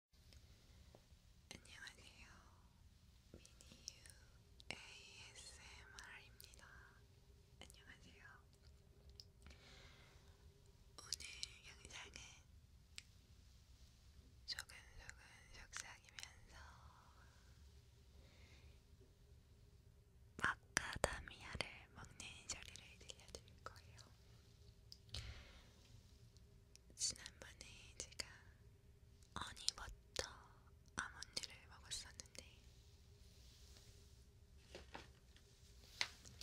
안녕하세요. 미니유 ASMR입니다. 안녕하세요. 오늘 영상은 소근소근 속삭이면서 마카다미아를 먹는 소리를 들려드릴 거예요. 지난번에 제가 어니버터 아몬드를 먹었었는데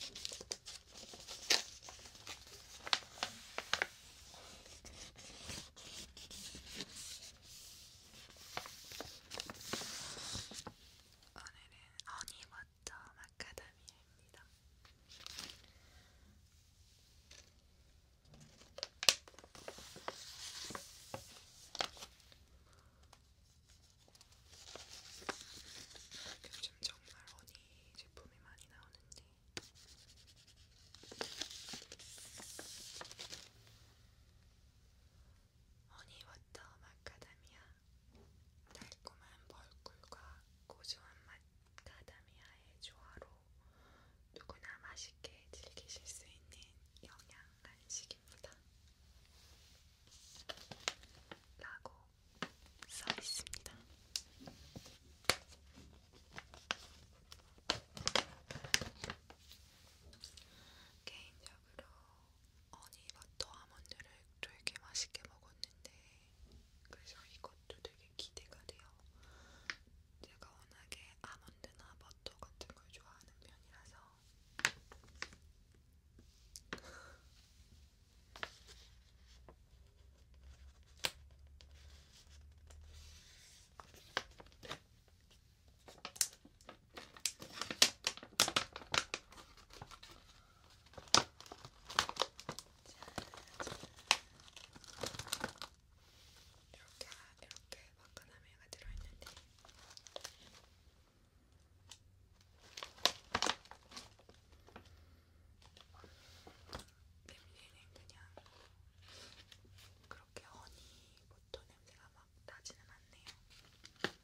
오늘은 어니버터 마카다미아 입니다. 아, 요즘 정말 허니 제품이 많이 나오는데 허니 워터 마카다미아 달콤한 벌꿀과 고소한 맛 카다미아의 조화로 누구나 맛있게 즐기실 수 있는 영양 간식입니다. 라고 써 있습니다. 개인적으로 어니버터 아몬드를 되게 맛있게 먹었는데 그래서 이것도 되게 기대가 돼요. 제가 워낙에 아몬드나 버터 같은 걸 좋아하는 편이라서 이렇게 이렇게 마카다미아가 들어있는데 냄새는 그냥 그렇게 허니 버터 냄새가 막 나지는 않네요.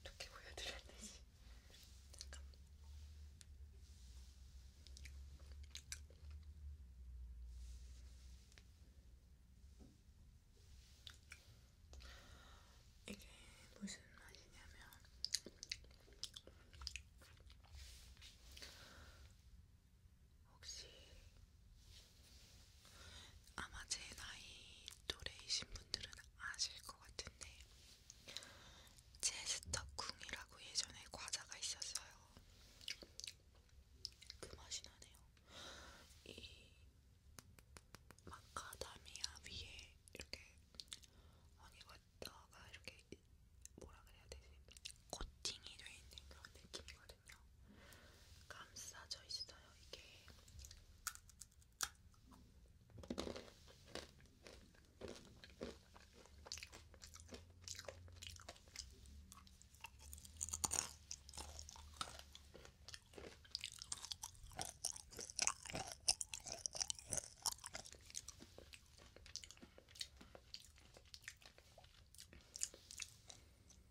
어떻게 보여드려야 되지? 잠깐만. 이게 무슨 맛이냐면 혹시 아마 제 나이 또래이신 분들은 아실 것 같은데 제스터쿵이라고 예전에 과자가 있었어요. 그 맛이 나네요. 이 마카다미아 위에 이렇게 허니버터가 이렇게 뭐라 그래야 되지? 코팅이 돼 있는 그런 느낌이거든요. 있거든요. 감싸져 있어요, 이게.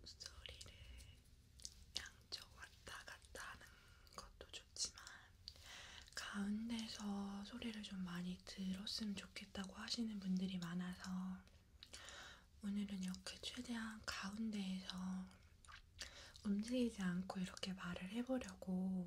목소리를 양쪽 왔다 갔다 하는 것도 좋지만 가운데서 소리를 좀 많이 들었으면 좋겠다고 하시는 분들이 많아서 오늘은 이렇게 최대한 가운데에서 움직이지 않고 이렇게 말을 해보려고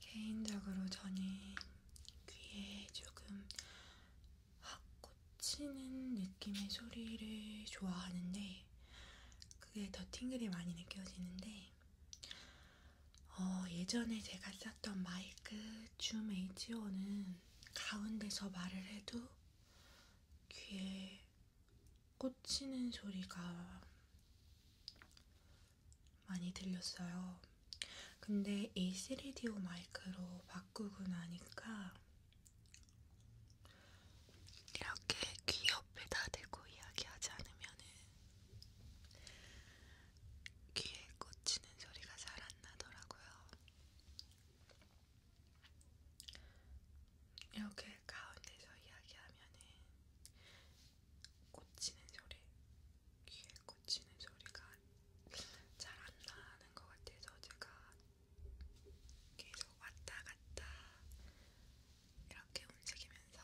개인적으로 저는 귀에 조금 확 꽂히는 느낌의 소리를 좋아하는데 그게 더 팅글이 많이 느껴지는데 어, 예전에 제가 썼던 마이크 줌 H5는 가운데서 말을 해도 귀에 꽂히는 소리가 많이 들렸어요. 근데 A3DO 마이크로 바꾸고 나니까 이렇게 귀 옆에다 대고 이야기하지 않으면은 귀에 꽂히는 소리가 잘 안 나더라고요. 이렇게 가운데서 이야기하면은 꽂히는 소리, 귀에 꽂히는 소리가 잘 안 나는 것 같아서 제가 계속 왔다 갔다 이렇게 움직이면서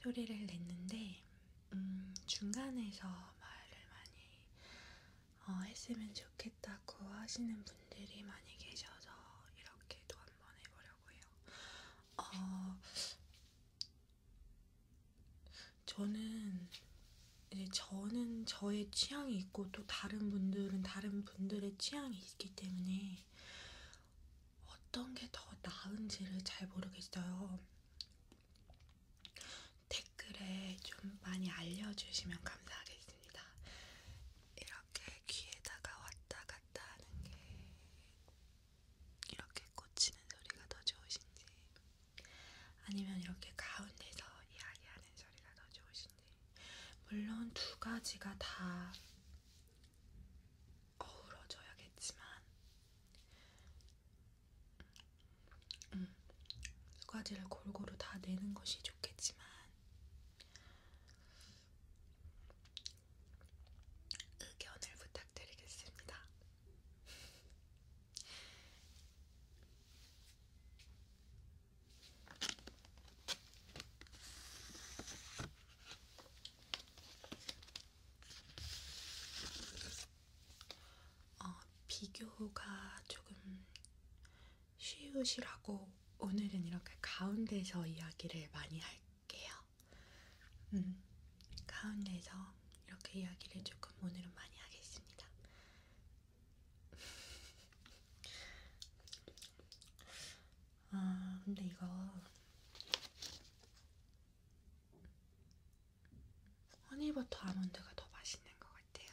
소리를 냈는데 음, 중간에서 말을 많이 어, 했으면 좋겠다고 하시는 분들이 많이 계셔서 이렇게 도 한번 해보려고 해요. 어, 저는 이제 저는 저의 취향이 있고 또 다른 분들은 다른 분들의 취향이 있기 때문에 어떤 게 더 나은지를 잘 모르겠어요. 댓글에 좀 많이 알려주시면 감사하겠습니다. 이렇게 귀에다가 왔다 갔다 하는 게 이렇게 꽂히는 소리가 더 좋으신지 아니면 이렇게 가운데서 이야기하는 소리가 더 좋으신지 물론 두 가지가 다 어우러져야겠지만 음, 두 가지를 골고루 다 내는 것이 좋겠지만 의견을 부탁드리겠습니다. 어, 비교가 조금 쉬우시라고 오늘은 이렇게 가운데서 이야기를 많이 할게요. 해볼게요. 음, 가운데서 이렇게 이야기를 조금 오늘은 많이 하겠습니다. 아, 근데 이거 허니버터 아몬드가 더 맛있는 것 같아요.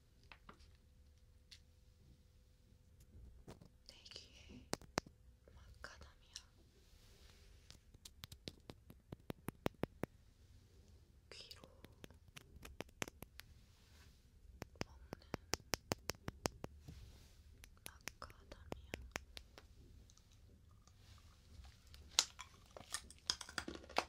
내 귀에 마카다미아 귀로 먹는 마카다미아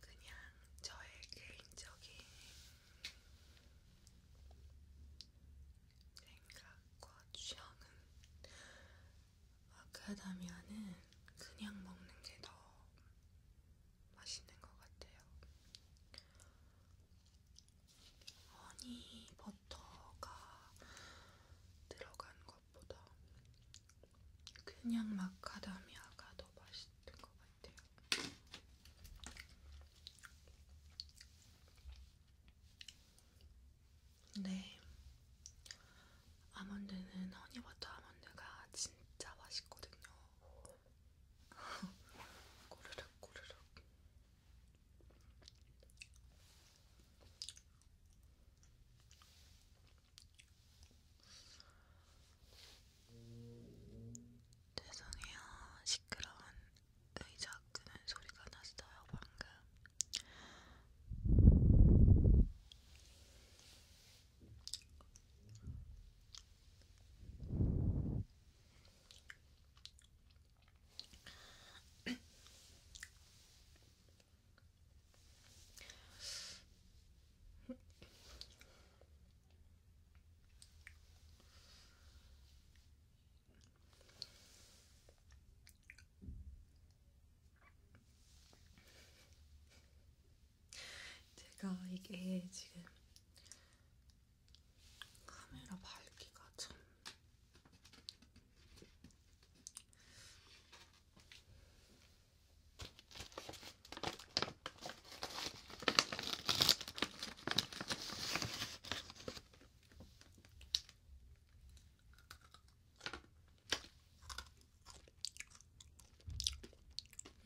그냥 저의 개인적인 생각과 취향은 아카다미아는 그냥 먹는 게 더 맛있는 것 같아요. 허니 버터가 들어간 것보다 그냥 마카다미아가 더 맛있는 것 같아요. 네, 아몬드는 허니버터 아몬드가 진짜 맛있거든요. 꼬르륵 꼬르륵. 죄송해요. 시끄러운 의자 끄는 소리가 났어요, 방금. 제가 이게 지금 카메라 밝기가 참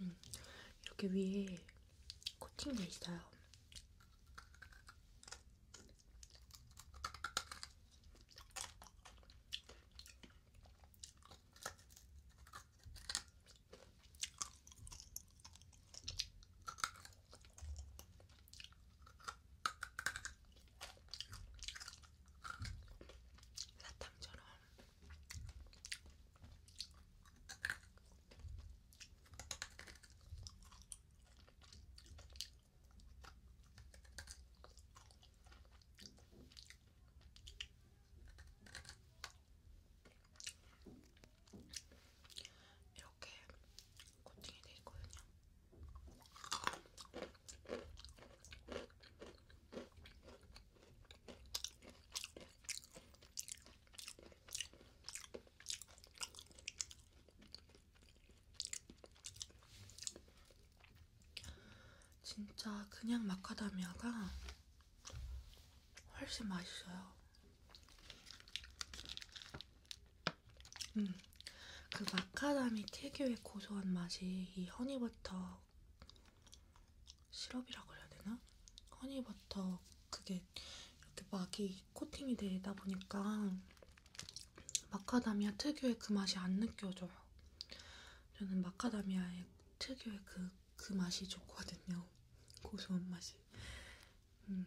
음, 이렇게 위에 코팅돼 있어요. 사탕처럼 이렇게 코팅이 되어 있거든요. 진짜 그냥 마카다미아가 훨씬 맛있어요. 음, 그 마카다미 특유의 고소한 맛이 이 허니버터 시럽이라고 해야 되나? 허니버터 그게 이렇게 막이 코팅이 되다 보니까 마카다미아 특유의 그 맛이 안 느껴져요. 저는 마카다미아의 특유의 그, 그 맛이 좋거든요. 고소한 맛이. 음.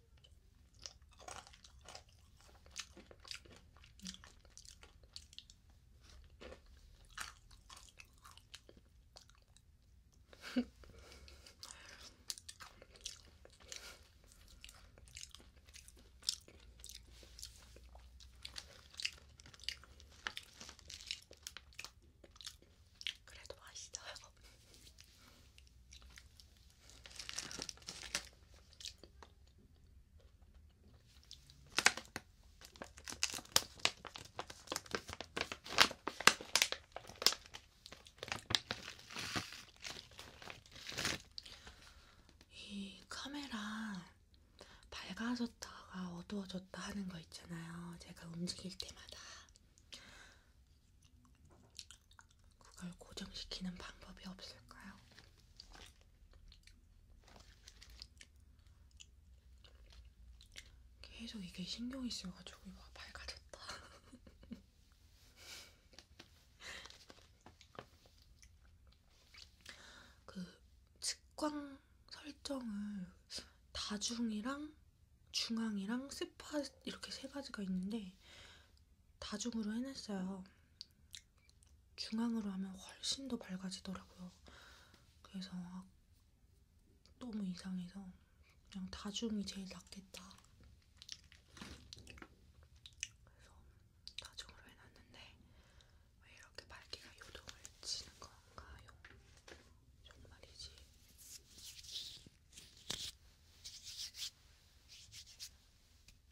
그래도 맛있어요. 이 카메라 밝아졌다가 어두워졌다 하는 거 있잖아요. 제가 움직일 때마다 그걸 고정시키는 방법이 없을까요? 계속 이게 신경이 쓰여가지고 이거 밝아졌다. 그 측광 설정을 다중이랑 중앙이랑 스팟 이렇게 세 가지가 있는데 다중으로 해놨어요. 중앙으로 하면 훨씬 더 밝아지더라고요. 그래서 아, 너무 이상해서 그냥 다중이 제일 낫겠다. 그래서 다중으로 해놨는데 왜 이렇게 밝기가 요동을 치는 건가요? 정말이지.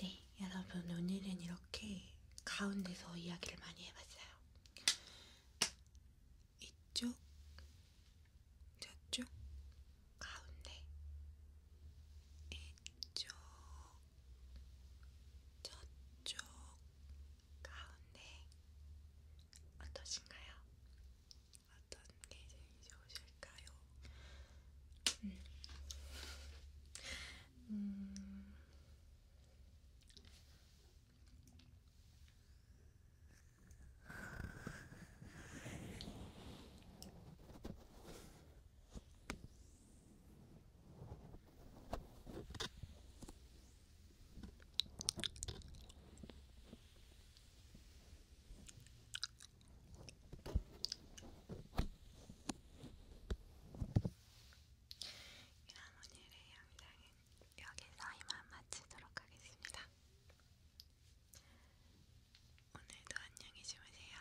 네, 여러분 오늘은 이렇게 가운데서 이야기를 많이 해봤어요. 이쪽, 저쪽, 가운데, 이쪽, 저쪽, 가운데 어떠신가요? 어떤 게 제일 좋으실까요? 음. 음. 음. 이런 오늘의 영상은 여기서 이만 마치도록 하겠습니다. 오늘도 안녕히 주무세요.